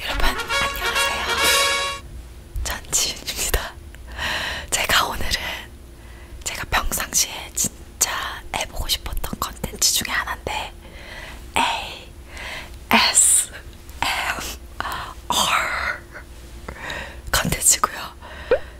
여러분 안녕하세요. 전지윤입니다. 제가 오늘은 제가 평상시에 진짜 해보고 싶었던 컨텐츠 중에 하나인데 A S M R 컨텐츠고요.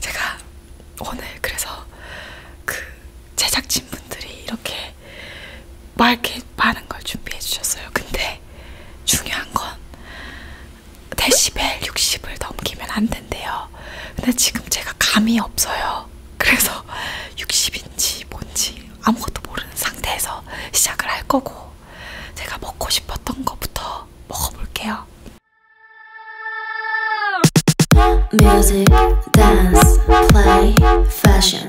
제가 오늘 그래서 그 제작진분들이 이렇게 막 이렇게 많은 걸 준비해 주셨어요. 근데 중요한 건 데시벨 60을 넘기면 안 된대요. 근데 지금 제가 감이 없어요. 그래서 60인지 뭔지 아무것도 모르는 상태에서 시작을 할 거고 제가 먹고 싶었던 거부터 먹어볼게요. Music, dance, play, fashion.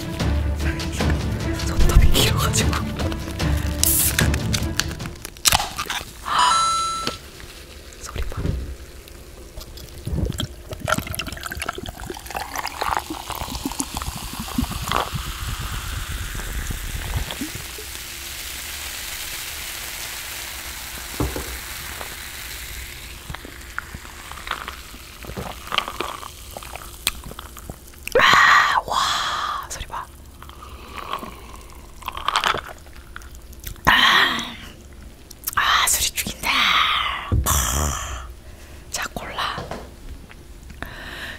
손톱이 길어가지고. 소리 봐. 아, 와 소리 봐. 아, 아 소리 죽인다. 자 골라.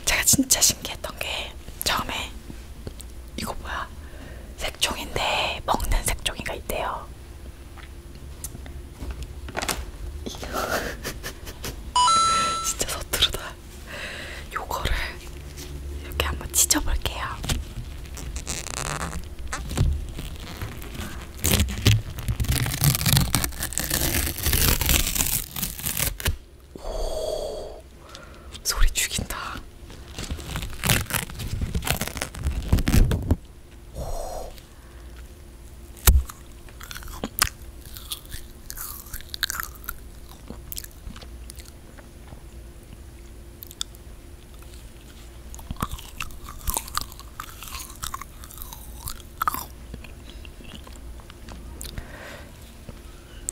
제가 진짜 신기했던 게 처음에 이거 뭐야? 색종인데 먹는 색종이가 있대요. 진짜 서투르다. 요거를 이렇게 한번 찢어볼게요. 오, 소리 죽인다. 오,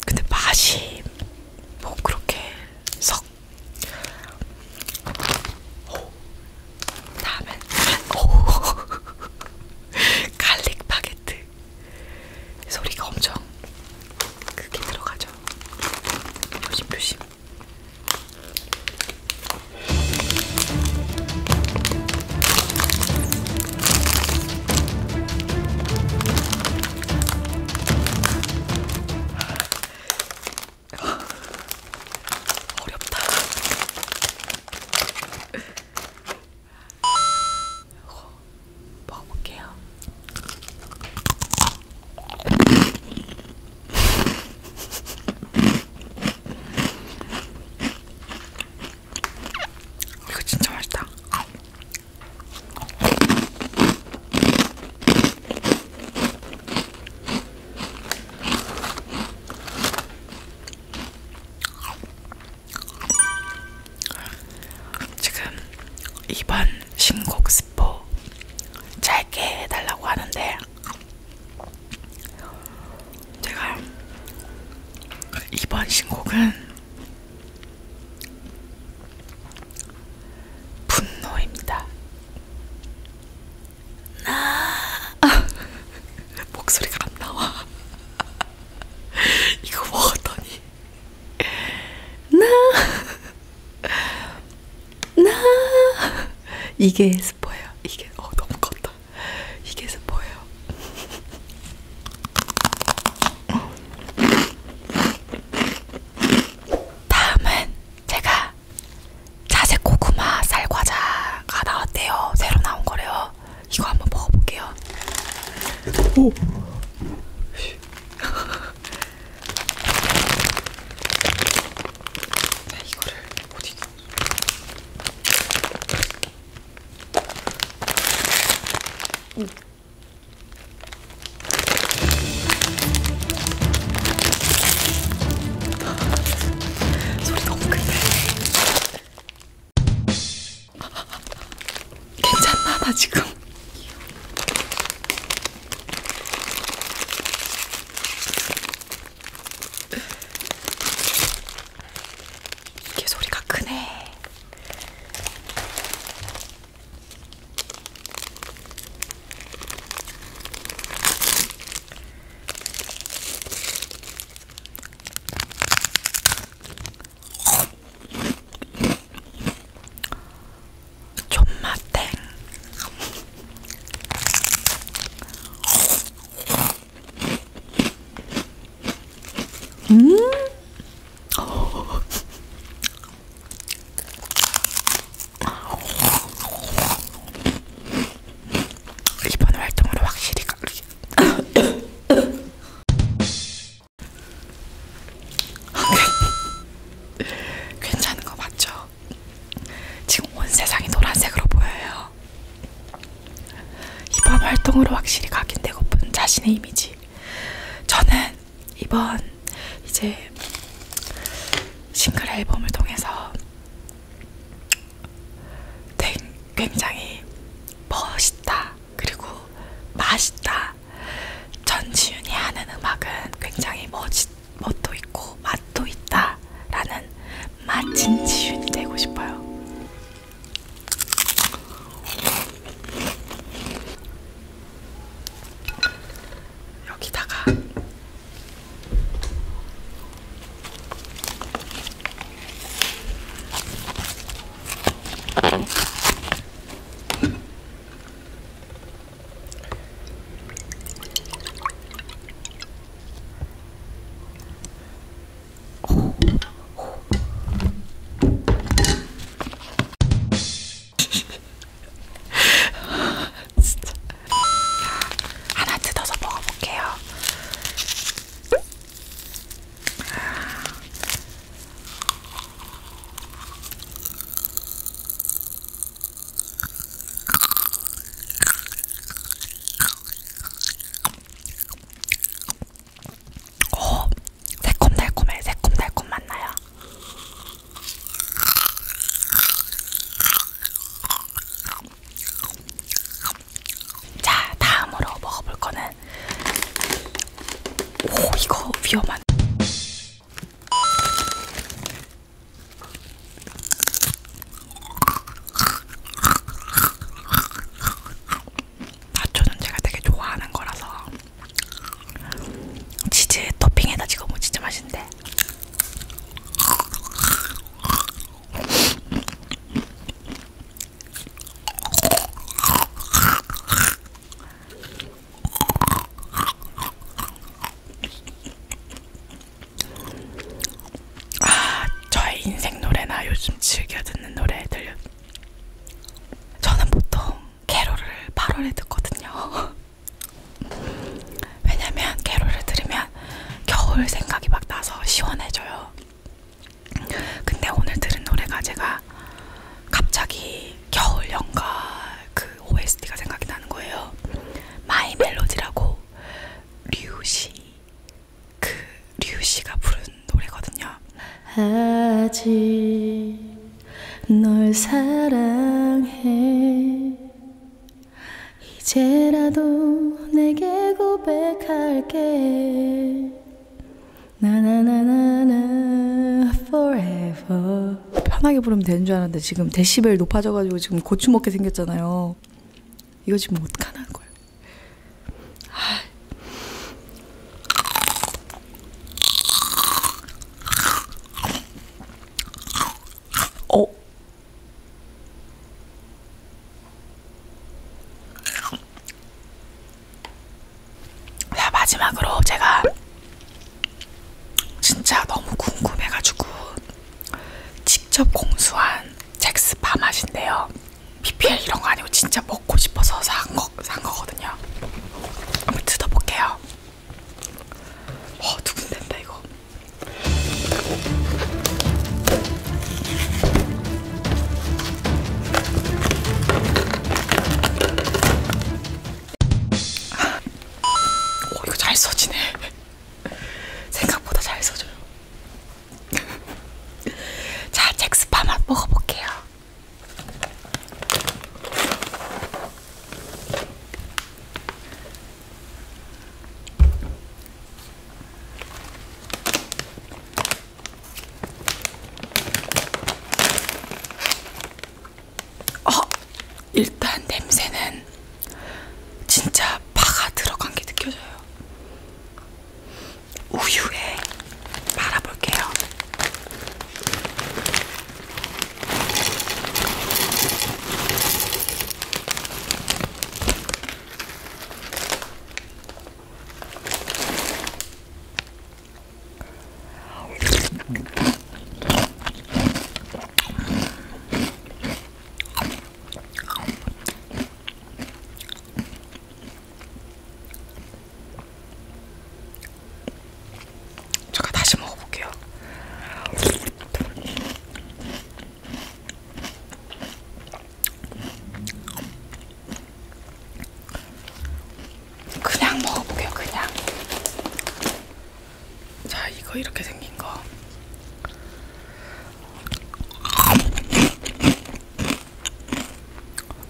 근데 맛이 뭐 그렇게 석 오. 다음엔 오 갈릭 바게트 소리가 엄청 크게 들어가죠. 조심 조심. 어렵다. 이거 먹어볼게요. 이거 진짜 맛있다. 지금 이번 신곡 스포 짧게 해달라고 하는데 제가 이번 신곡은 분노입니다. 나 아. 목소리가 안 나와. 이거 먹었더니 나나 나. 이게 스포예요. 이게 어 너무 컸다. 이게 스포예요. 다음은 제가 자색 고구마 쌀 과자가 나왔대요. 새로 나온 거래요. 이거 한번 먹어볼게요. 오! 나 이거를 어디? 음. 음. 소리 너무 큰데 괜찮나 나 지금? 이게 소리가 크네. 존맛땡 음 이번 활동으로 확실히 괜찮은 거 맞죠? 지금 온 세상이 노란색으로 보여요. 이번 활동으로 확실히 각인되고픈 자신의 이미지. 저는 이번 이제 싱글 앨범을 통해서 굉장히 멋있다, 그리고 맛있다. 전지윤이 하는 음악은 굉장히 멋있, 멋도 있고 맛도 있다. 라는 맛진 지윤이 되고 싶어요. 여기다가 진짜. 하나 뜯어서 먹어볼게요. 오, 어, 새콤달콤해, 새콤달콤 맞나요? 자, 다음으로 먹어볼 거는 때는 오 이거 위험한. 나초는 제가 되게 좋아하는 거라서 치즈 토핑에다 찍어 먹으면 뭐 진짜 맛있는데. 아, 저의 인생 노래나 요즘 즐겨 듣는 노래들. 저는 보통 캐롤을 8월에 듣거든요. 왜냐면 캐롤을 들으면 겨울 생각이 막 나서 시원해져요. 근데 오늘 들은 노래가 제가 갑자기 겨울 연가 그 OST가 생각이 나는 거예요. 마이 멜로디라고 류시 그 류시가 부른 노래거든요. 아직 널 사랑해 이제라도 내게 고백할게 나나나나나 forever 편하게 부르면 되는 줄 알았는데 지금 데시벨 높아져가지고 지금 고추 먹게 생겼잖아요 이거 지금 어떡하는 거예요 아. 어? 자, 마지막으로 제가 진짜 너무 궁금해가지고 직접 공수한 잭스파 맛인데요. PPL 이런 거 아니고 진짜 먹고 싶어서 산, 거, 산 거거든요. 한번 뜯어볼게요. 어, 두근댄다, 이거. 오 이거 잘 써지네. 생각보다 잘 써져요. 자 잭스팜 한번 먹어볼게요. 어, 일단 냄새는 진짜 파가 들어간 게 느껴져요. 우유에 말아볼게요. 제가 다시 먹어볼게요. 그냥 먹어볼게요. 그냥. 자, 이거 이렇게 생긴 거.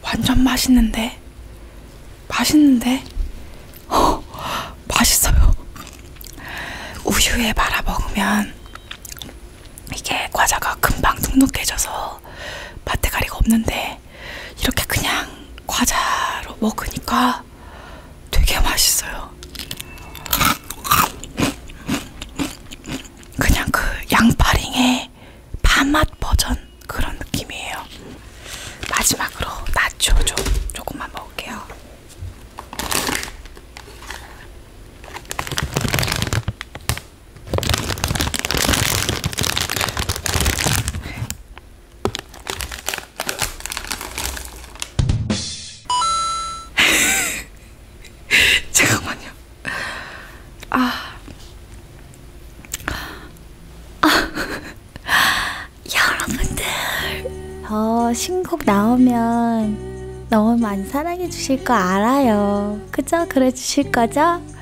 완전 맛있는데? 맛있는데? 어, 맛있어요. 우유에 말아 먹으면 이게 과자가 금방 눅눅해져서 맛대가리가 없는데 근데 이렇게 그냥 과자로 먹으니까 되게 맛있어요. 그냥 그 양파링의 밥맛 버전 그런 느낌이에요. 마지막으로 나초 좀 조금만 먹을게요. 잠깐만요. 아. 아. 여러분들. 저 어, 신곡 나오면 너무 많이 사랑해 주실 거 알아요. 그죠? 그래 주실 거죠?